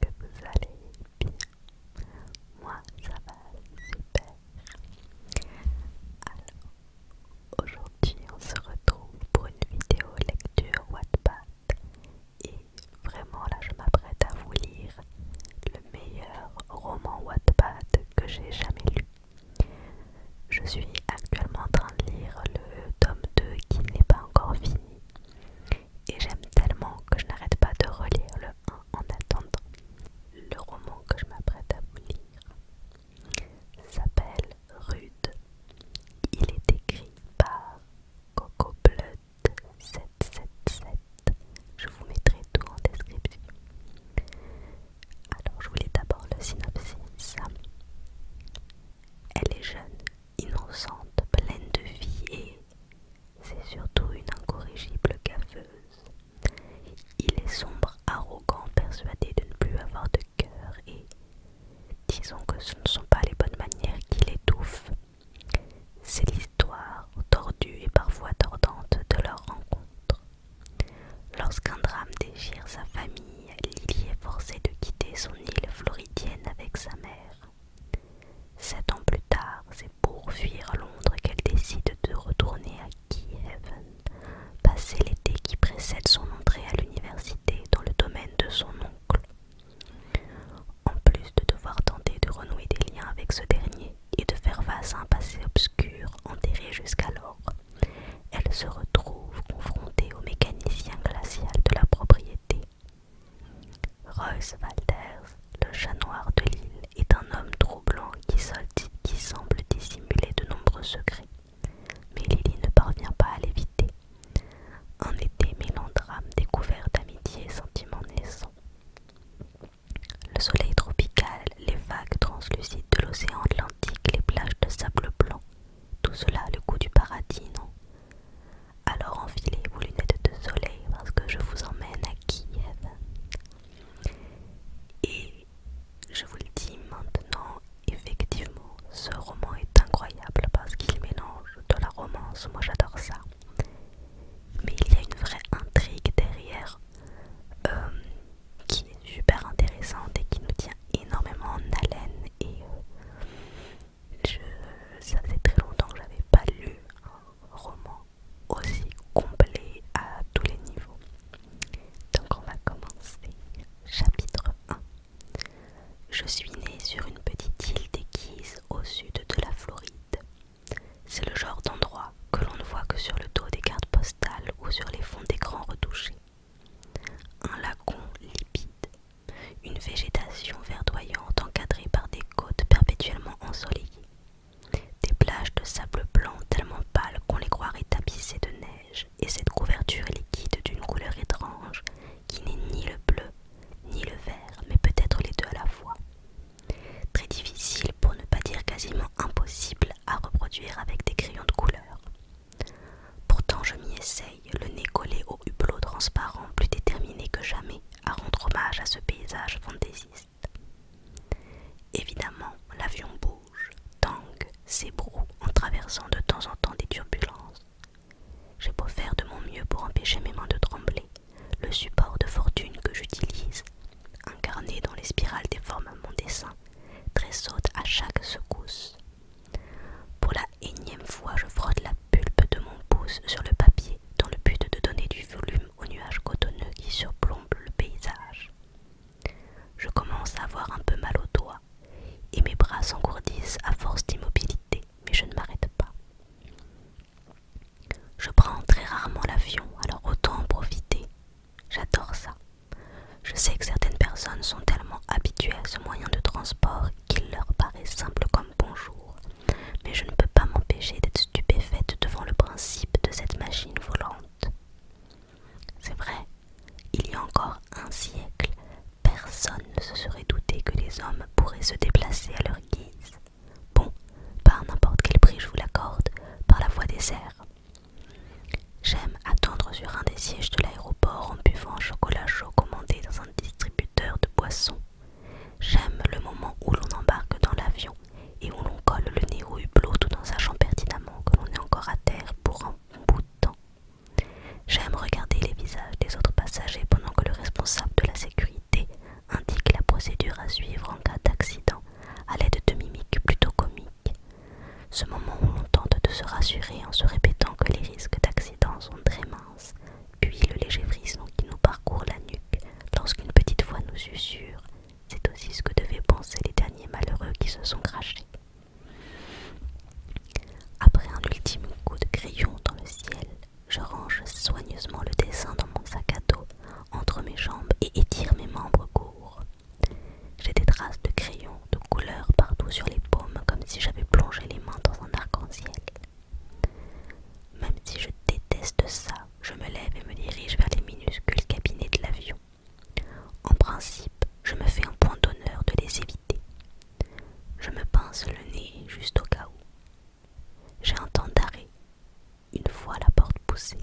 que vous allez bien. Moi, ça va super. Alors, aujourd'hui, on se retrouve pour une vidéo lecture Wattpad. Et vraiment, là, je m'apprête à vous lire le meilleur roman Wattpad que j'ai jamais lu. Je suis actuellement en train de lire le tome 2 qui n'est pas encore fini et j'aime tellement que je n'arrête pas de relire le 1 en attendant. Le roman que je m'apprête à vous lire s'appelle Rude. Il est écrit par Coco Blood 777. Je vous mettrai tout en description. Alors je vous lis d'abord le synopsis. Elle est jeune, innocente, pleine de vie et c'est surtout une incorrigible gaffeuse. Il est sombre, arrogant, persuadé de ne plus avoir de cœur et disons que ce ne sont pas les bonnes manières qui l'étouffent. C'est l'histoire tordue et parfois tordante de leur rencontre. Lorsqu'un drame déchire sa famille, Lily est forcée de quitter son île floridienne avec sa mère. Sept ans plus tard, c'est pour fuir Londres qu'elle décide de retourner à Kiev, passer l'été qui précède son entrée à l'université dans le domaine de son oncle. En plus de devoir tenter de renouer des liens avec ce dernier et de faire face à un passé obscur enterré jusqu'alors, elle se retrouve confrontée au mécanicien glacial de la propriété, Royce Walters, le chat noir de l'île, est un homme troublant qui, qui semble dissimuler de nombreux secrets, mais Lily ne parvient pas à l'éviter. Un été mêlant découvert d'amitié et sentiments naissants. Le soleil tropical, les vagues translucides de l'océan Atlantique, les plages de sable blanc, tout cela a le goût du paradis, non alors enfilez vos lunettes de soleil parce que je vous emmène à Kiev. Et je vous le dis maintenant, effectivement, ce roman est incroyable parce qu'il mélange de la romance, moi j'adore ça. Mais il y a une vraie intrigue derrière euh, qui est super intéressante et qui nous tient énormément en haleine euh, je, ça faisait très longtemps que j'avais pas lu un roman aussi complet à tous les niveaux. Donc on va commencer. Chapitre 1. Je suis née sur une petite île déquise au sud de la Floride. C'est le genre d'endroit que l'on ne voit que sur le dos des cartes postales ou sur les fonds d'écran retouchés. Un lacon lipide une végétation verdoyante encadrée par des côtes perpétuellement ensoleillées, des plages de sable blanc tellement pâles qu'on les croirait tapissées de neige, et cette couverture liquide d'une couleur étrange qui n'est ni le bleu ni le vert, mais peut-être les deux à la fois. Très difficile, pour ne pas dire quasiment impossible, à reproduire avec des crayons de couleur. Pourtant je m'y essaye, le nez collé au hublot transparent, plus déterminé que jamais à rendre hommage à ce paysage fantaisiste. Évidemment, l'avion bouge, tangue, s'ébroue en traversant de temps en temps des turbulences. J'ai beau faire de mon mieux pour empêcher mes mains de trembler, le support de fortune que j'utilise, incarné dans les spirales des formes à mon dessin, tressaute à chaque secousse. Pour la énième fois, je frotte la pulpe de mon pouce sur le papier dans le but de donner du volume aux nuages cotonneux qui surplombent le paysage. Je commence à avoir un peu mal au doigt et mes bras s'engourdissent à force d'immobilité, mais je ne m'arrête pas. Je prends très rarement l'avion, alors autant en profiter. J'adore ça. Je sais que certaines personnes sont tellement habituées à ce moyen de transport qu'il leur paraît simple comme bonjour, mais je ne peux pas m'empêcher d'être stupéfaite devant le principe de cette machine volante. C'est vrai, il y a encore un siècle, personne ne se serait douté que les hommes pourraient se déplacer à leur guise. Bon, par n'importe quel prix je vous l'accorde, par la voie des airs. J'aime attendre sur un des sièges de l'aéroport en buvant un chocolat chaud commandé dans un distributeur de boissons. J'aime le moment où l'on embarque dans l'avion et où l'on colle le nez hublot tout en sachant pertinemment que l'on est encore à terre pour un bout de temps. J'aime regarder les visages des autres passagers pendant que le responsable de la sécurité indique la procédure à suivre en cas d'accident à l'aide de mimiques plutôt comiques. Ce moment où l'on tente de se rassurer en se répétant que les risques d'accident sont très minces puis le léger frisson qui nous parcourt la nuque lorsqu'une petite voix nous susurre. C'est aussi ce que devaient penser les derniers malheureux qui se sont crachés. Après un ultime coup de crayon dans le ciel, je range soigneusement le dessin dans mon sac à dos entre mes jambes et étire mes membres courts. J'ai des traces de crayon couleurs partout sur les paumes comme si j'avais plongé les mains dans un arc-en-ciel. Même si je déteste ça, je me lève et me dirige vers les minuscules cabinets de l'avion. En principe, je me fais un point d'honneur de les éviter. Je me pince le nez juste au cas où. J'ai un temps d'arrêt, une fois la porte poussée.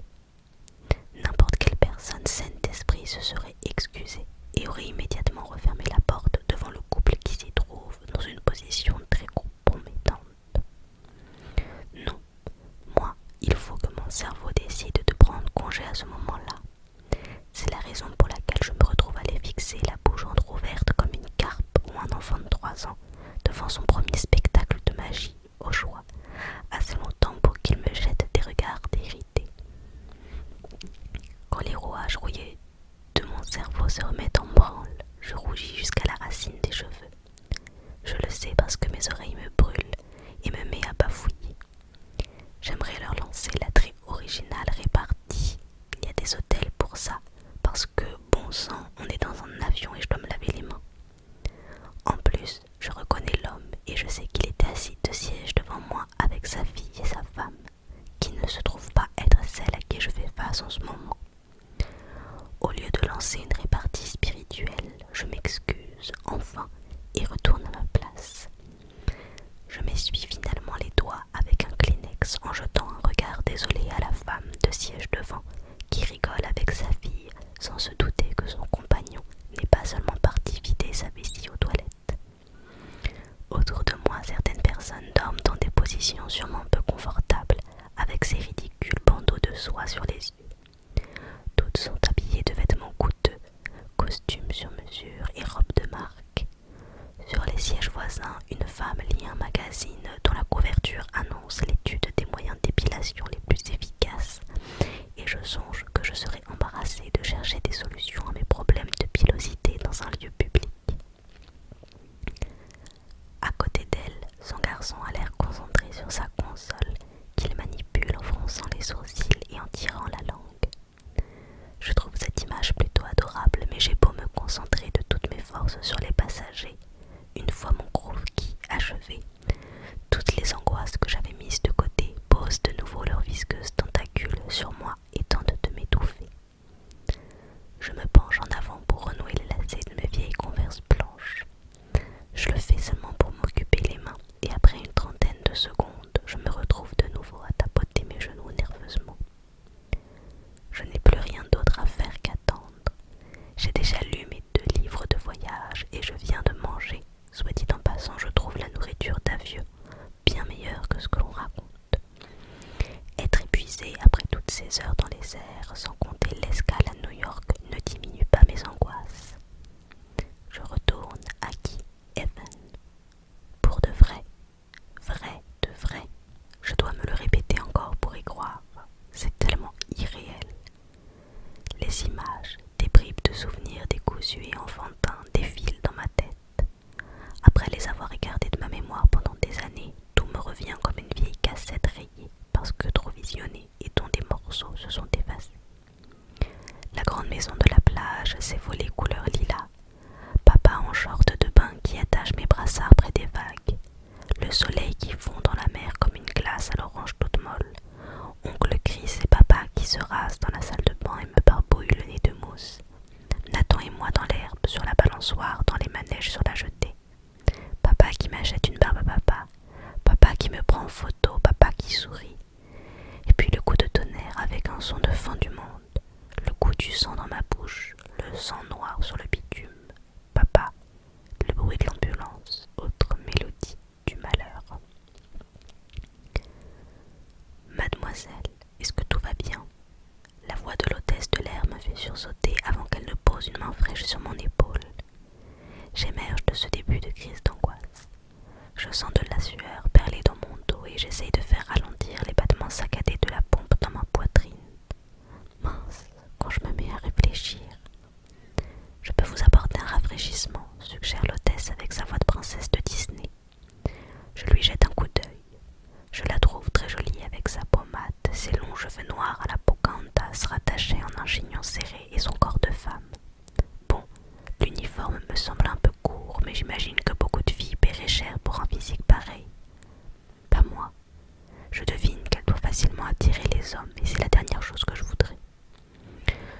N'importe quelle personne saine d'esprit se serait excusée et aurait immédiatement refermé la porte devant le couple qui s'y trouve dans une position très compromettante. Non, moi, il faut que mon cerveau décide de prendre congé à ce moment-là. C'est la raison pour laquelle je me retrouve à les fixer la bouche entr'ouverte comme une carpe ou un enfant de trois ans devant son premier spectacle de magie, au choix, assez longtemps pour qu'il me jette des regards irrités. Quand les rouages rouillés de mon cerveau se remet en branle, je rougis jusqu'à la racine des cheveux. Je le sais parce que mes oreilles me brûlent et me mets à bafouiller. J'aimerais leur lancer la original originale répartie. Il y a des hôtels pour ça, parce que, bon sang, on est dans un avion et je dois me laver les mains. En plus, je reconnais l'homme et je sais qu'il était assis de siège devant moi avec sa fille et sa femme qui ne se trouve pas être celle à qui je fais face en ce moment. Au lieu de lancer une répartie spirituelle, je m'excuse enfin et retourne à ma place. Je m'essuie finalement les doigts avec un Kleenex en jetant un regard désolé à la femme de siège devant qui rigole avec sa fille sans se douter que son compagnon n'est pas seulement parti vider sa vessie aux toilettes. Autour de moi, certaines personnes dorment dans des positions sûrement peu confortables, avec ces ridicules bandeaux de soie sur les yeux. Toutes sont habillées de vêtements coûteux, costumes sur mesure et robes de marque. Sur les sièges voisins, une femme lit un magazine dont la couverture annonce l'étude des moyens d'épilation les plus efficaces, et je songe que je serai embarrassée de chercher des solutions à mes problèmes de pilosité dans un lieu public. À côté d'elle, son garçon a l'air concentré sur sa console qu'il manipule en fronçant les sourcils et en tirant la langue. Je trouve cette image plutôt adorable, mais j'ai beau me concentrer de toutes mes forces sur les passagers. Une fois mon groove qui, achevé, toutes les angoisses que j'avais mises de côté posent de nouveau leurs visqueuses tentacules sur moi et tente de m'étouffer. Je me penche en avant pour renouer le lacet de mes vieilles converses blanches. Je le fais seulement pour m'occuper les mains, et après une trentaine de secondes, je me retrouve de nouveau à tapoter mes genoux nerveusement. Je n'ai plus rien d'autre à faire qu'attendre. J'ai déjà lu mes deux livres de voyage et je viens de manger. Soit dit en passant, je trouve la nourriture d'avieux bien meilleure que ce que l'on raconte. Être épuisé après toutes ces heures dans les airs, sans compter l'escale à New York, ne diminue pas mes angoisses. Je retourne à qui, Evan, Pour de vrai, vrai de vrai. Je dois me le répéter encore pour y croire. C'est tellement irréel. Les images, des bribes de souvenirs décousus et enfantins défilent dans ma tête. Après les avoir écartés de ma mémoire pendant des années, tout me revient comme une vieille cassette rayée parce que trop visionnée et dont des morceaux se sont effacés. La grande maison de la plage, ses volets couleur lilas, papa en short de bain qui attache mes brassards près des vagues, le soleil qui fond dans la mer comme une glace à l'orange toute molle, oncle Chris et papa qui se rasent dans la salle de bain et me barbouillent le nez de mousse, Nathan et moi dans l'herbe, sur la balançoire, dans les manèges, sur la jetée. Papa qui m'achète une barbe à papa. Papa qui me prend en photo, papa qui sourit. Et puis le coup de tonnerre avec un son de fin du monde. Le coup du sang dans ma bouche, le sang noir sur le bitume. Papa, le bruit de l'ambulance, autre mélodie du malheur. Mademoiselle, est-ce que tout va bien La voix de l'hôtesse de l'air me fait sursauter avant qu'elle ne pose une main fraîche sur mon épaule. J'émerge de ce début de crise d'angoisse. Je sens de la sueur perler dans mon dos et j'essaye de faire ralentir les battements saccadés de la pompe dans ma poitrine. Mince, quand je me mets à réfléchir. Je peux vous apporter un rafraîchissement, suggère l'hôtesse avec sa voix de princesse de Disney. Je lui jette un coup d'œil. Je la trouve très jolie avec sa pommade, ses longs cheveux noirs à la pocantas rattachés en un chignon serré et son corps de femme. Bon, l'uniforme me semble un peu court, mais j'imagine que beaucoup de filles paieraient cher pour un physique pareil. Pas moi. Je devine qu'elle doit facilement attirer les hommes et c'est la dernière chose que je voudrais.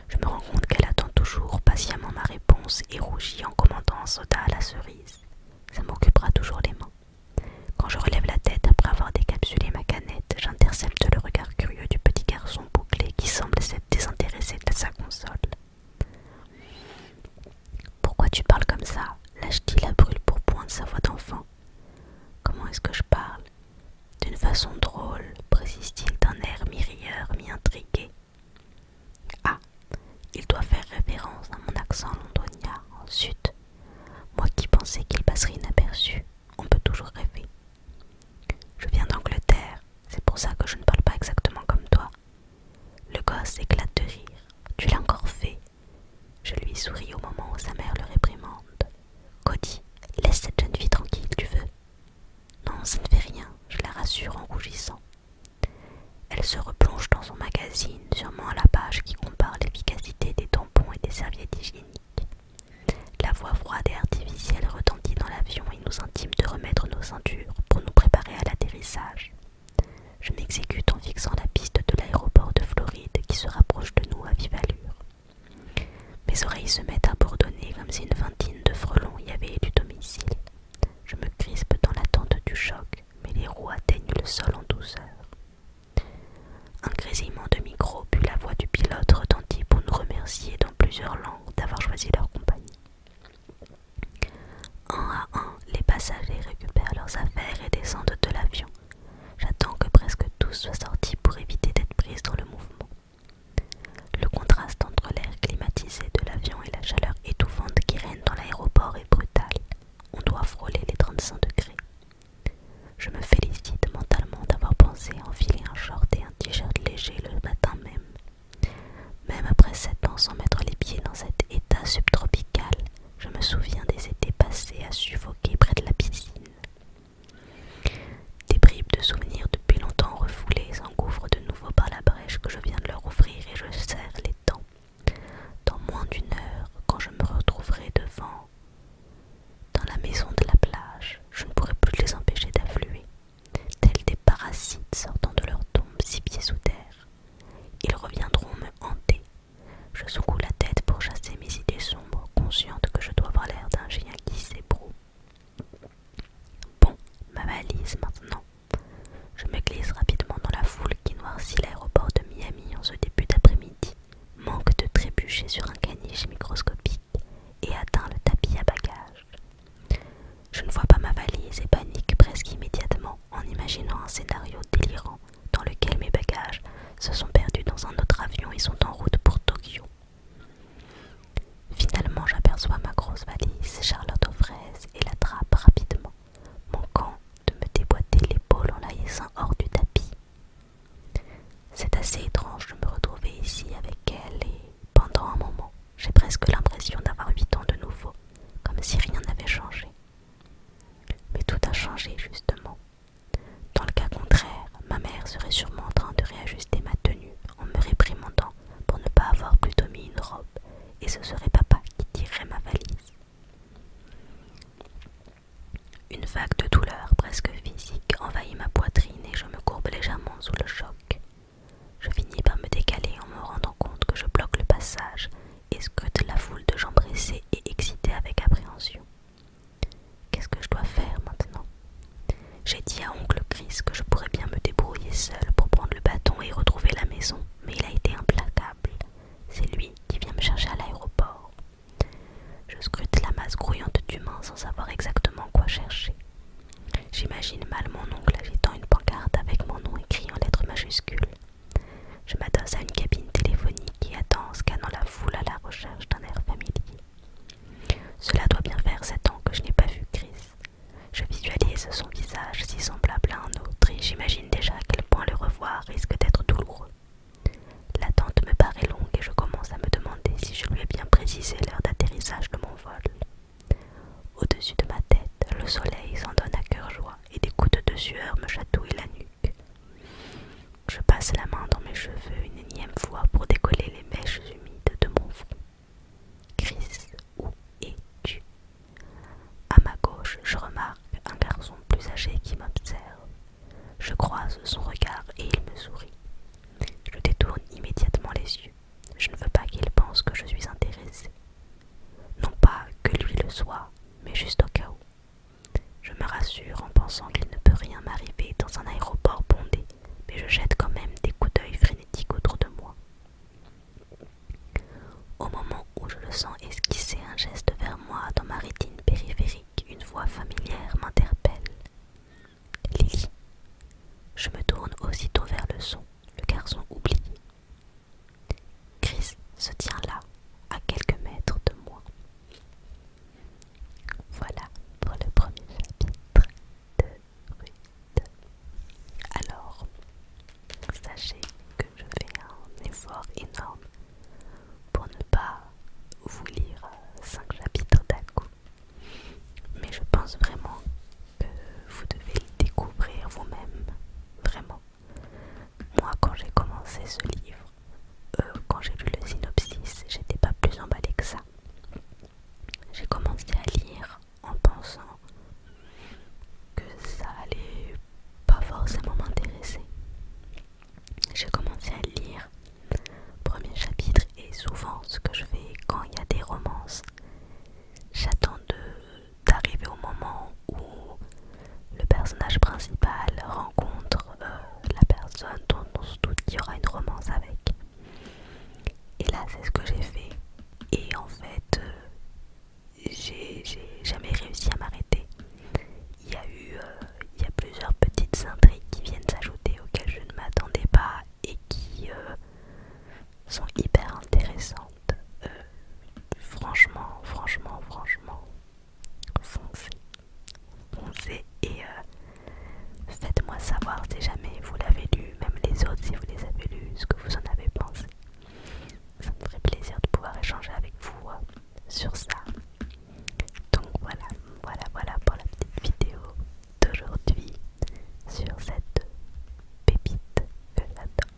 Je me rends compte qu'elle attend toujours patiemment ma réponse et rougit en commandant un soda à la cerise. Ça m'occupera toujours les mains. Quand je relève la tête après avoir décapsulé ma canette, j'intercepte le regard curieux du petit garçon bouclé qui semble s'être désintéressé de sa console. Pourquoi tu parles comme ça lâche-t-il la brûle pour point de sa voix d'enfant. Comment est-ce que je parle D'une façon drôle, précise-t-il d'un air mi-rieur, mi-intrigué. Ah, il doit faire référence à mon accent londonien Ensuite, Moi qui pensais qu'il passerait inaperçu, on peut toujours rêver. Je viens d'Angleterre, c'est pour ça que je ne parle pas exactement comme toi. Le gosse éclate de rire. Tu l'as encore fait. Je lui souris au moment où sa mère le réprimande. Cody, laisse cette jeune fille tranquille, tu veux. Non, ça ne fait rien, je la rassure en rougissant. Elle se replonge dans son magazine, sûrement à la page qui compare l'efficacité des tampons et des serviettes hygiéniques. La voix froide et artificielle retentit dans l'avion et nous intime de remettre nos ceintures pour nous préparer à l'atterrissage. Je m'exécute en fixant la piste de l'aéroport de Floride qui se rapproche de nous à vive allure. Mes oreilles se mettent à bourdonner comme si une vingtaine de frelons y avaient du domicile. Je me crispe dans l'attente du choc, mais les roues atteignent le sol en douceur. Un grésillement de micro, puis la voix du pilote retentit pour nous remercier dans plusieurs langues d'avoir choisi leur compagnie. Un à un, les passagers récupèrent leurs affaires et descendent de l'avion. J'attends que presque tous soient sortis pour éviter d'être pris dans le mouvement. Le contraste entre l'air climatisé de l'avion et la chaleur étouffante qui règne dans l'aéroport est brutal. On doit frôler les 35 degrés. Je me félicite mentalement d'avoir pensé enfiler un short et un t-shirt léger le matin même. Même après sept ans sans mettre les pieds dans cet état subtropical, je me souviens des étés passés à suffoquer près de la piscine. Des bribes de souvenirs depuis longtemps refoulés couvre de nouveau par la brèche que je viens de leur ouvrir et je serre les dents. Dans moins d'une heure, quand je me retrouverai devant, dans la maison de la plage, je ne pourrai plus les empêcher d'affluer, tels des parasites sortant de leur tombe six pieds sous terre. Ils reviendront me hanter. Je secoue la tête pour chasser mes idées sombres, consciente que je dois avoir l'air d'un géant qui s'ébroue. Bon, ma valise maintenant. Je me glisse rapidement dans la foule qui noircit l'aéroport de Miami en ce début d'après-midi. Manque de trébucher sur un caniche microscopique et atteint le tapis à bagages. Je ne vois pas ma valise et panique presque immédiatement en imaginant un scénario délirant dans lequel mes bagages se sont perdus dans un autre avion et sont en route pour Tokyo. Finalement, j'aperçois ma grosse valise Charlotte aux fraises et l'attrape rapidement, manquant de me déboîter l'épaule en la laissant hors du tapis. C'est assez étrange de me retrouver ici avec elle et pendant un moment, j'ai presque l'impression d'avoir huit ans de nouveau, comme si rien n'avait changé. Mais tout a changé justement. Dans le cas contraire, ma mère serait sûrement en train de réajuster ma tenue en me réprimandant pour ne pas avoir plutôt mis une robe, et ce serait papa qui tirerait ma valise. Une vague de douleur presque physique envahit ma poitrine et je me courbe légèrement sous le choc. Je finis par me décaler en me rendant compte que je bloque le passage et scrute la foule de gens pressés et excités avec appréhension. Qu'est-ce que je dois faire maintenant j'ai dit à oncle Chris que je pourrais bien me débrouiller seule pour prendre le bâton et retrouver la maison, mais il a été implacable. C'est lui qui vient me chercher à l'aéroport. Je scrute la masse grouillante d'humains sans savoir exactement quoi chercher. J'imagine mal mon oncle agitant une pancarte avec mon nom écrit en lettres majuscules. Je m'adosse à une cabine téléphonique qui attend scannant la foule à la recherche d'un air familier. Cela doit bien faire sept ans que je n'ai pas vu Chris. Je visualise son visage si semblable à un autre et j'imagine déjà à quel point le revoir risque d'être douloureux. L'attente me paraît longue et je commence à me demander si je lui ai bien précisé l'heure d'atterrissage de mon vol. Au-dessus de ma tête, le soleil s'en donne à cœur joie et des gouttes de sueur me chatouillent la nuque. Je passe la main dans mes cheveux une énième fois pour décoller les mèches humides de mon front. Chris, où es-tu À ma gauche, je remarque un garçon plus âgé qui m'observe. Je croise son regard et il me sourit. Je détourne immédiatement les yeux. Je ne veux pas qu'il pense que je suis intéressée. Non pas que lui le soit, mais juste au cas où. Je me rassure en pensant qu'il ne peut rien m'arriver dans un aéroport bondé, mais je jette quand même des coups d'œil frénétiques autour de moi. Au moment où je le sens esquisser un geste vers moi dans ma rétine périphérique, une voix familière m'interpelle. Lily. Je me tourne aussitôt vers le son, le garçon oublié. Chris se tient là, à quelques mètres de moi. Voilà pour le premier chapitre de alors, sachez que je fais un effort énorme pour ne pas vous lire 5 chapitres d'un coup. Mais je pense vraiment que vous devez le découvrir vous-même. Vraiment. Moi, quand j'ai commencé ce livre, euh, quand j'ai lu le synopsis, j'étais pas plus emballée que ça. J'ai commencé à lire en pensant que ça allait pas forcément m'intéresser. J'ai commencé à lire premier chapitre et souvent ce que je fais quand il y a des romances, j'attends d'arriver au moment où le personnage principal rencontre euh, la personne dont on se doute qu'il y aura une romance avec. Et là, c'est ce que j'ai fait. Et en fait, euh, j'ai jamais réussi à m'arrêter. Il y a eu euh, il y a plusieurs petites intrigues qui viennent s'ajouter auxquelles je ne m'attendais pas et qui euh, sont hyper intéressantes. franchement, franchement, franchement, foncez. et... Faites-moi savoir si jamais vous l'avez lu, même les autres si vous les avez lus, ce que vous en avez pensé. Ça me ferait plaisir de pouvoir échanger avec vous hein, sur ça. Donc voilà, voilà, voilà pour la petite vidéo d'aujourd'hui sur cette pépite que j'adore.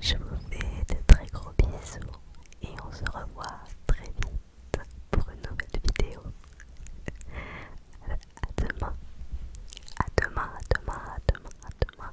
Je vous fais de très gros bisous et on se revoit très vite pour une nouvelle vidéo. À demain. À demain, à demain, à demain, à demain.